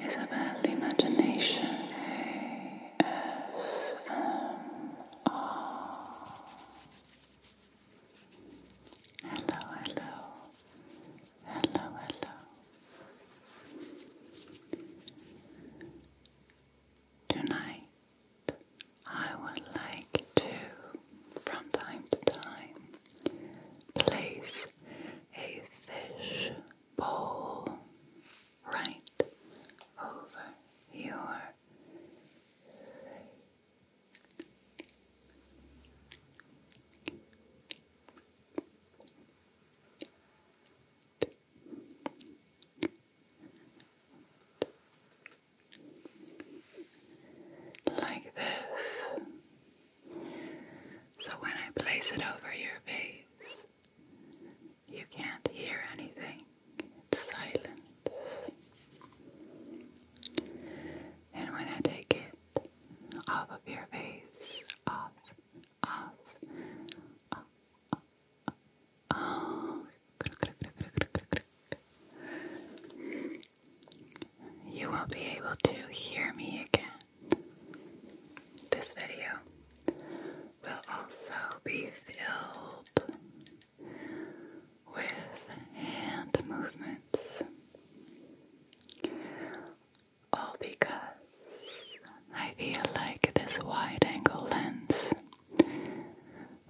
Isabel Imagination ASMR. Hello, hello, hello, hello. Tonight, I would like to, from time to time, place a fish bowl right over your like this so when I place it over your face, you can't hear anything. It's silent. And when I take it off of your face, off, off, off, off, off, off. You won't be able to hear me again. This video will also be filled with hand movements. All because I feel like this wide angle lens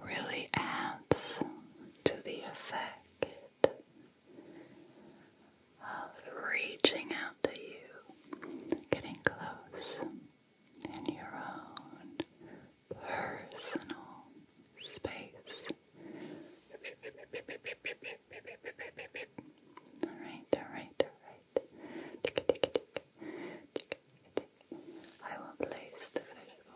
really adds to the effect of reaching out to you, getting close in your own personal space. All right, all right, all right. Tick, tick, tick, tick, I will place the visual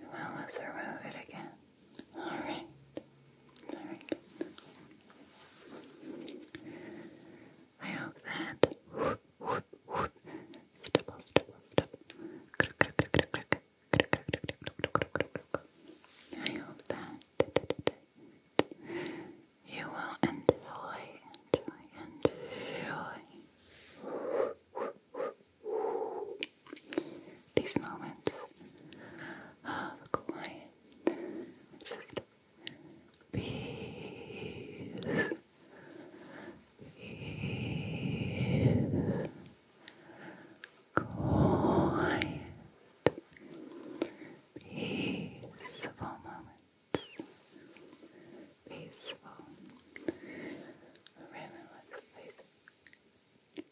And now let's remove it again. Alright. Alright. I hope that stipple, stipple, stipple. I hope that you will enjoy, enjoy, enjoy these moments ah, of quiet, just peace, quiet, peaceful moments, peaceful. Really, let's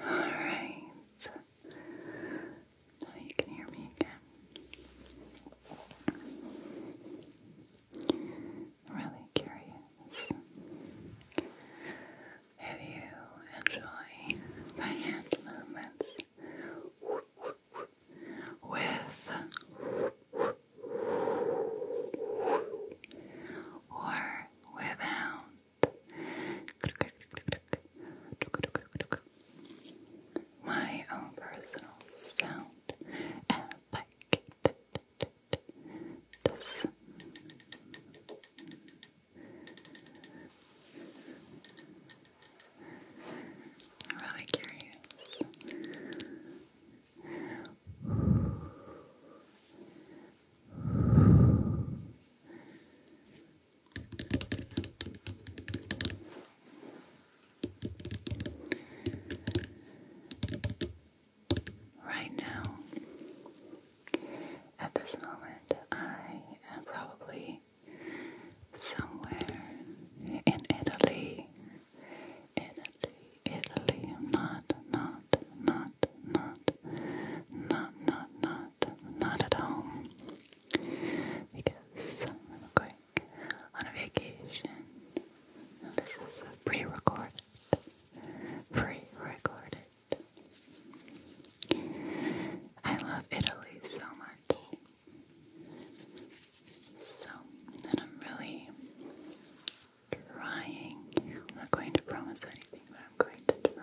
Alright. Now you can hear me again. really curious. If you enjoy my hand with or without my own personal sound and like this. I'm really curious. Right now, at this moment, I am probably somewhere in Italy. Italy, Italy. not, not, not, not not, not, not, not at home. Because I'm going on a vacation. this is pre recorded. Pre recorded. I love Italy so much. So, and I'm really trying. I'm not going to promise anything, but I'm going to try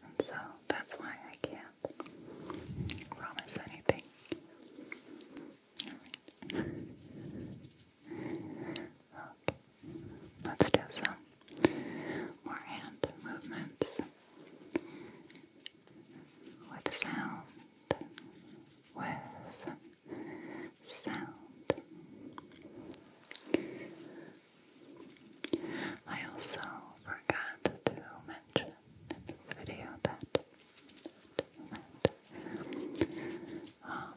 And so that's why I can't promise anything. Let's do some more hand movements with sound. With sound. I also forgot to mention in this video that um,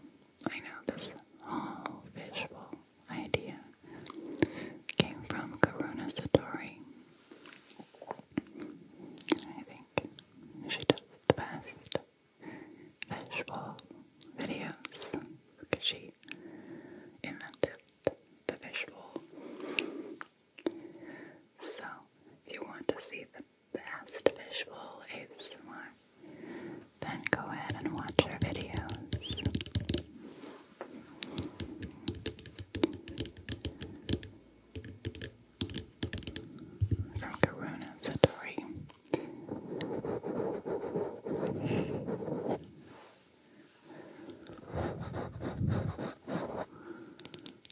I know this whole visual idea came from Karuna Satori. I think she does the best visual videos because she invented the visual. So, if you want to see the past Fishbowl ASMR, then go ahead and watch our videos. From Karuna Satori.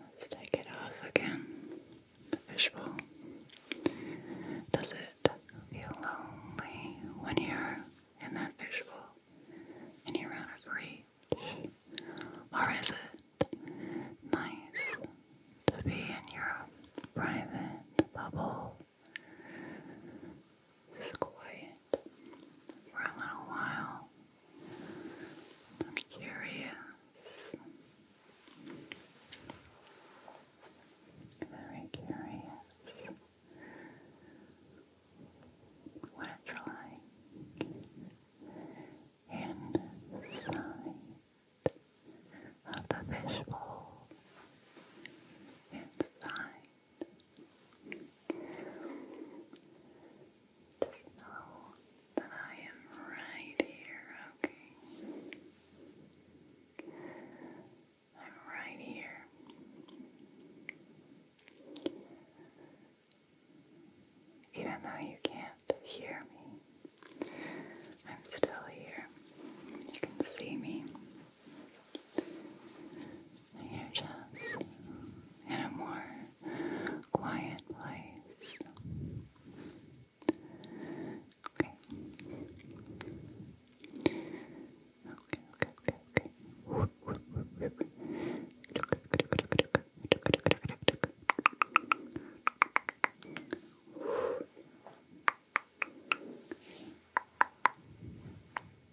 Let's take it off again. The fishbowl. Does it feel lonely when you're in that fishbowl and you're out of reach? Or is it nice to be in your private bubble is quiet for a little while. I'm curious. Very curious. What it's inside of the fishbowl, inside just know that I am right here, okay? I'm right here. Even though you can't hear me, I'm still here. You can see me. You're just in a more quiet place. Okay. Okay, okay, okay, okay. Okay.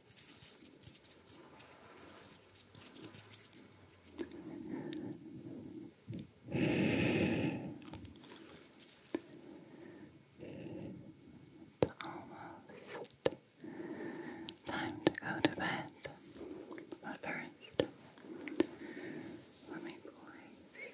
It's almost time to go to bed. But first, let me place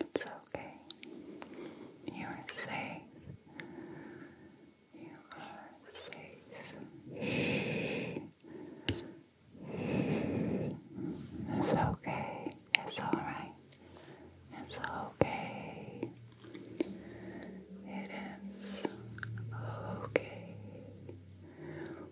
It's okay. You are safe. You are safe. It's okay. It's alright. It's okay. It is okay.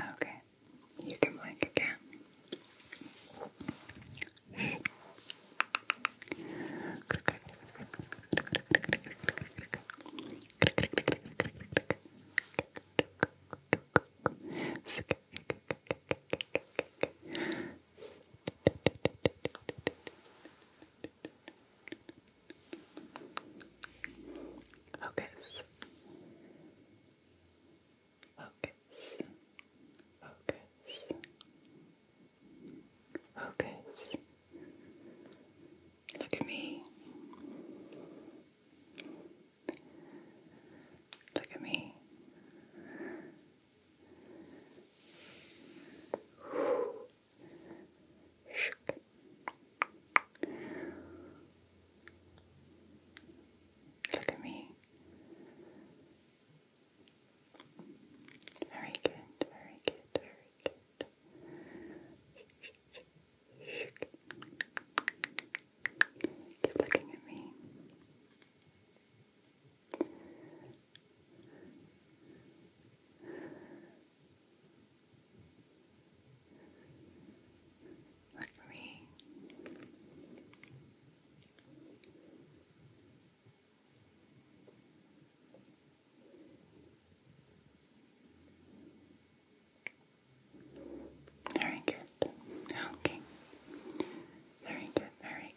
Okay, you can blink again. Focus. Focus. Focus. Focus. Look at me. Look at me. Look at me. Very good, very good, very good. Keep looking at me. Look for Very good. Okay. Very good, very good.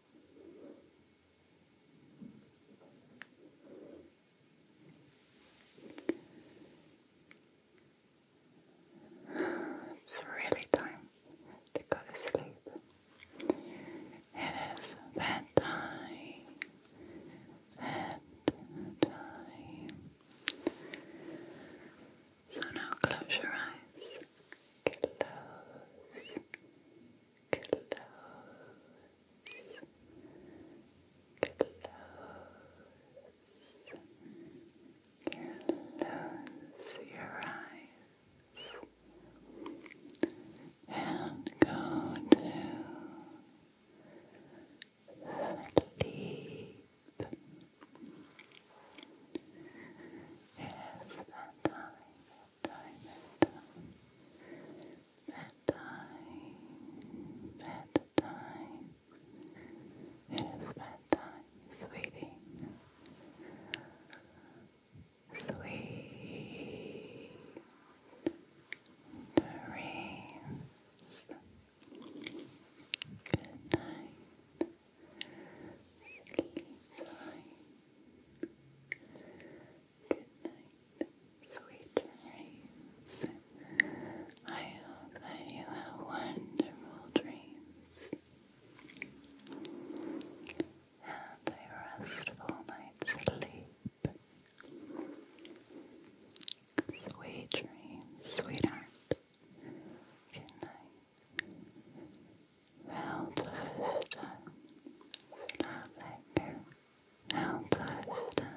It's really time to go to sleep. It is bedtime. Bedtime. So now close your eyes. Close Close. Close your eyes and go to sleep. It's that bedtime, bedtime, bedtime. It is bedtime, sweetie. Sweet dreams. Good night. Sleep tight. Good sweet dreams. I hope that you have wonderful dreams and a restful night's sleep. sweetheart. Good night. Well, the first time, Altaristan